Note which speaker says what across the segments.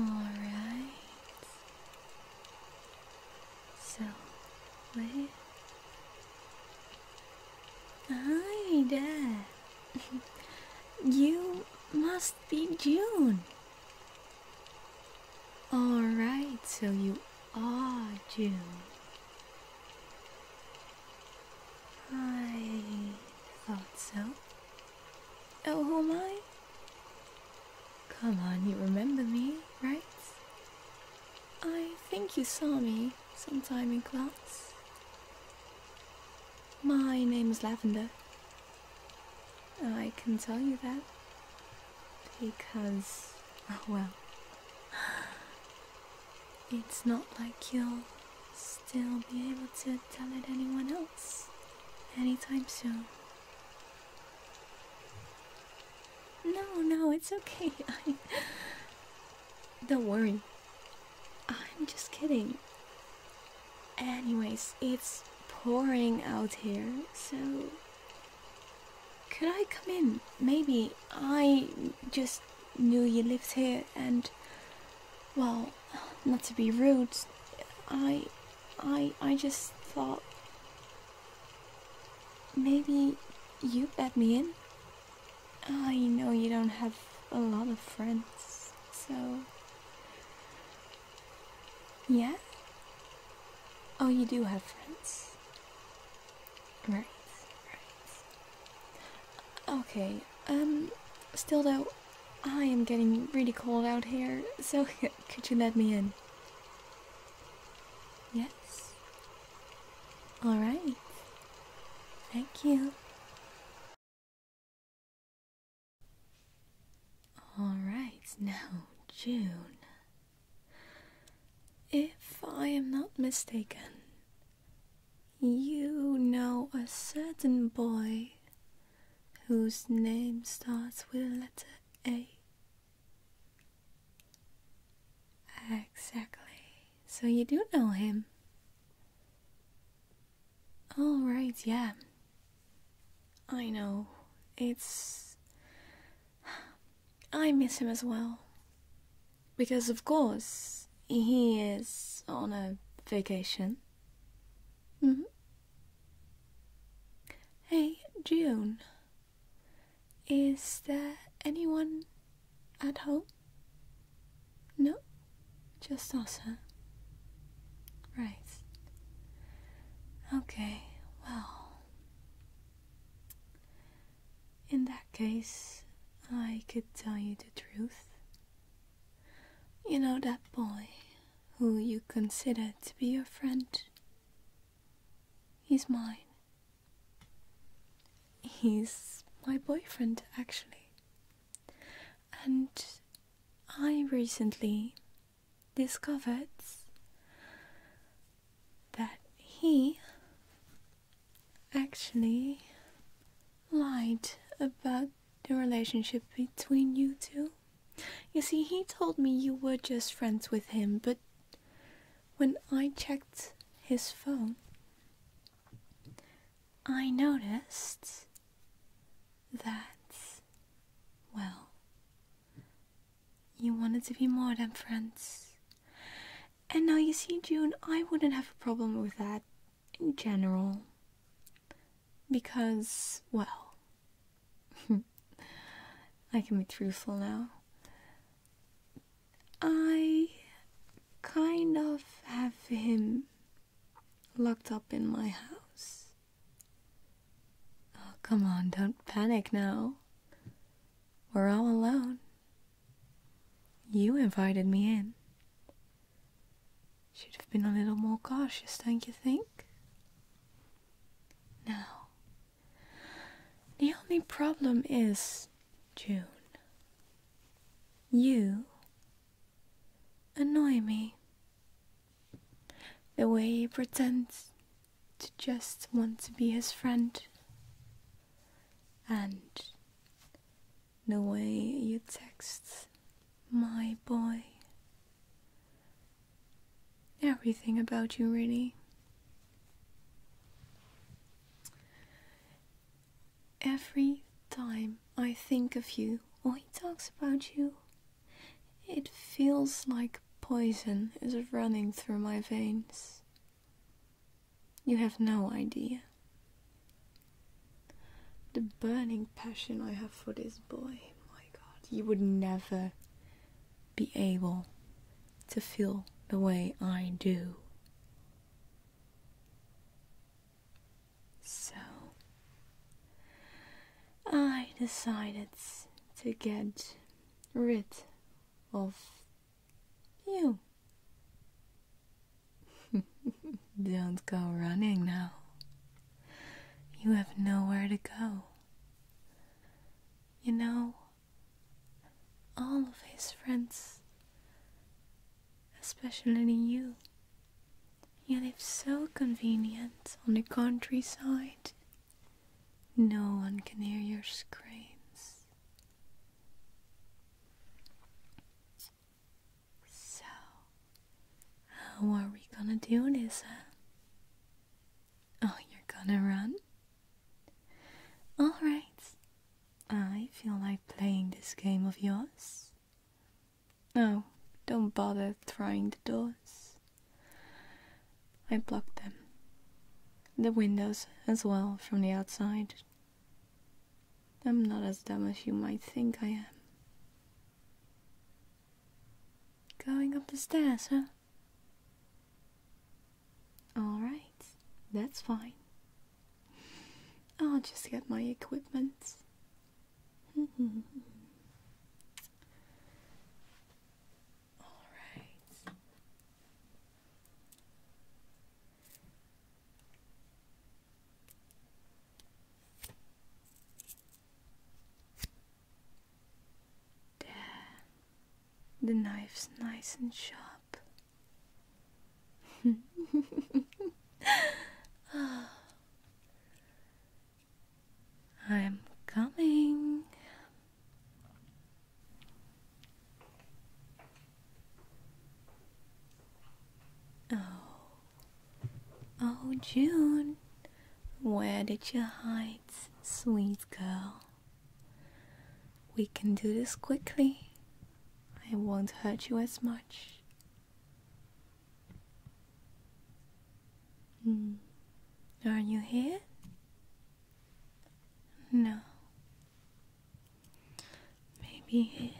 Speaker 1: All right. So, wait. Hi there. you must be June. All right, so you are June. I thought so. Oh, who am I? Come on, you remember me, right? I think you saw me sometime in class. My name is Lavender. I can tell you that because, oh, well, it's not like you'll still be able to tell it anyone else anytime soon. No, no, it's okay. I Don't worry. I'm just kidding. Anyways, it's pouring out here, so could I come in? Maybe I just knew you lived here and well, not to be rude, I, I, I just thought maybe you let me in. I know you don't have a lot of friends, so yeah. Oh, you do have friends, right? Right. Okay, um, still though, I am getting really cold out here, so could you let me in? Yes? Alright. Thank you. Alright, now, June. If I am not mistaken, you know a certain boy whose name starts with the letter A. Exactly. So you do know him. All right, yeah. I know. It's. I miss him as well. Because, of course, he is on a vacation. hmm. Hey, June. Is there anyone at home? No? Just us, huh? Right. Okay, well. In that case, I could tell you the truth. You know that boy who you consider to be your friend? He's mine. He's my boyfriend, actually. And I recently discovered that he actually lied about the relationship between you two. You see, he told me you were just friends with him, but when I checked his phone, I noticed that, well, you wanted to be more than friends. And now you see, June, I wouldn't have a problem with that in general. Because, well, I can be truthful now. I kind of have him locked up in my house. Oh, come on, don't panic now. We're all alone. You invited me in. Should have been a little more cautious, don't you think? Now, the only problem is, June, you annoy me. The way you pretend to just want to be his friend. And the way you text my boy. Everything about you, really. Every time I think of you or he talks about you, it feels like poison is running through my veins. You have no idea. The burning passion I have for this boy, my god, you would never be able to feel the way I do. So, I decided to get rid of you. Don't go running now. You have nowhere to go. You know, all of his friends, especially you, you live so convenient on the countryside. No one can hear your screams. So, how are we gonna do this, Oh, you're gonna run? Alright, I feel like playing this game of yours. No, don't bother trying the doors. I blocked them, the windows as well from the outside. I'm not as dumb as you might think I am. Going up the stairs, huh? Alright, that's fine. I'll just get my equipment. All right. There. The knife's nice and sharp. Ah. I'm coming. Oh, oh, June, where did you hide, sweet girl? We can do this quickly. I won't hurt you as much. Hmm. Are you here? No. Maybe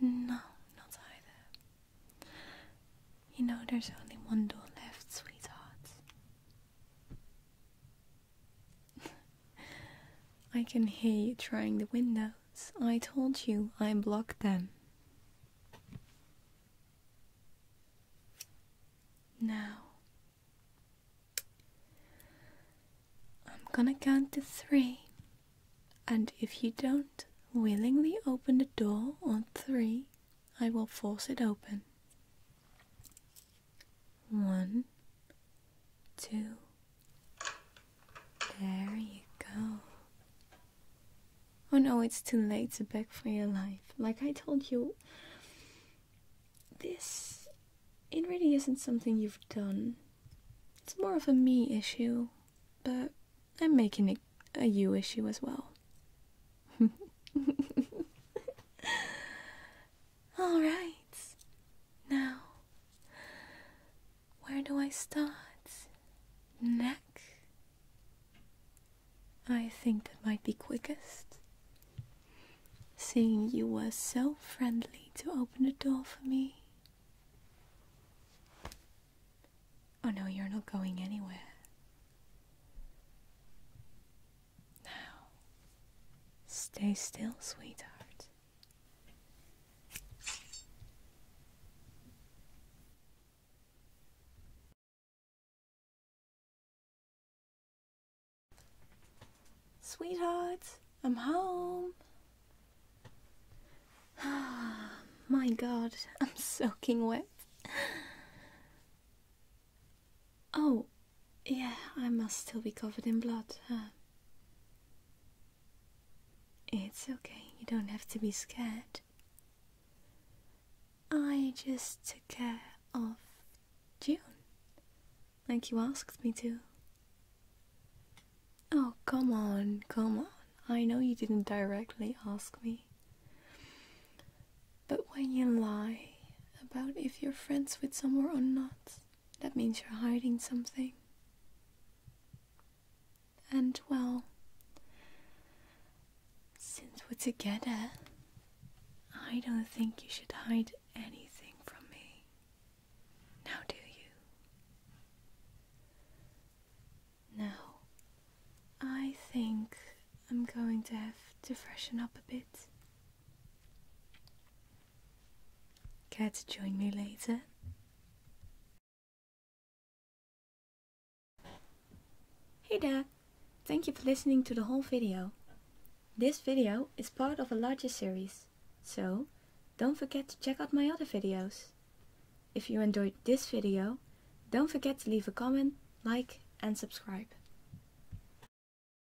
Speaker 1: No, not either. You know, there's only one door left, sweetheart. I can hear you trying the window. I told you I blocked them. Now, I'm gonna count to three, and if you don't willingly open the door on three, I will force it open. One, two, there you go. Oh no, it's too late to beg for your life. Like I told you, this. It really isn't something you've done. It's more of a me issue, but I'm making it a you issue as well. Alright, now where do I start? Neck? I think that might be quickest. Seeing you were so friendly to open the door for me. Oh no, you're not going anywhere. Now, stay still, sweetheart. Sweetheart, I'm home. My god, I'm soaking wet. Oh, yeah, I must still be covered in blood. It's okay, you don't have to be scared. I just took care of June, like you asked me to. Oh, come on, come on. I know you didn't directly ask me. But when you lie about if you're friends with someone or not, that means you're hiding something. And well, since we're together, I don't think you should hide anything from me. Now, do you? Now, I think I'm going to have to freshen up a bit. Care to join me later? Hey Dad, Thank you for listening to the whole video. This video is part of a larger series, so don't forget to check out my other videos. If you enjoyed this video, don't forget to leave a comment, like and subscribe.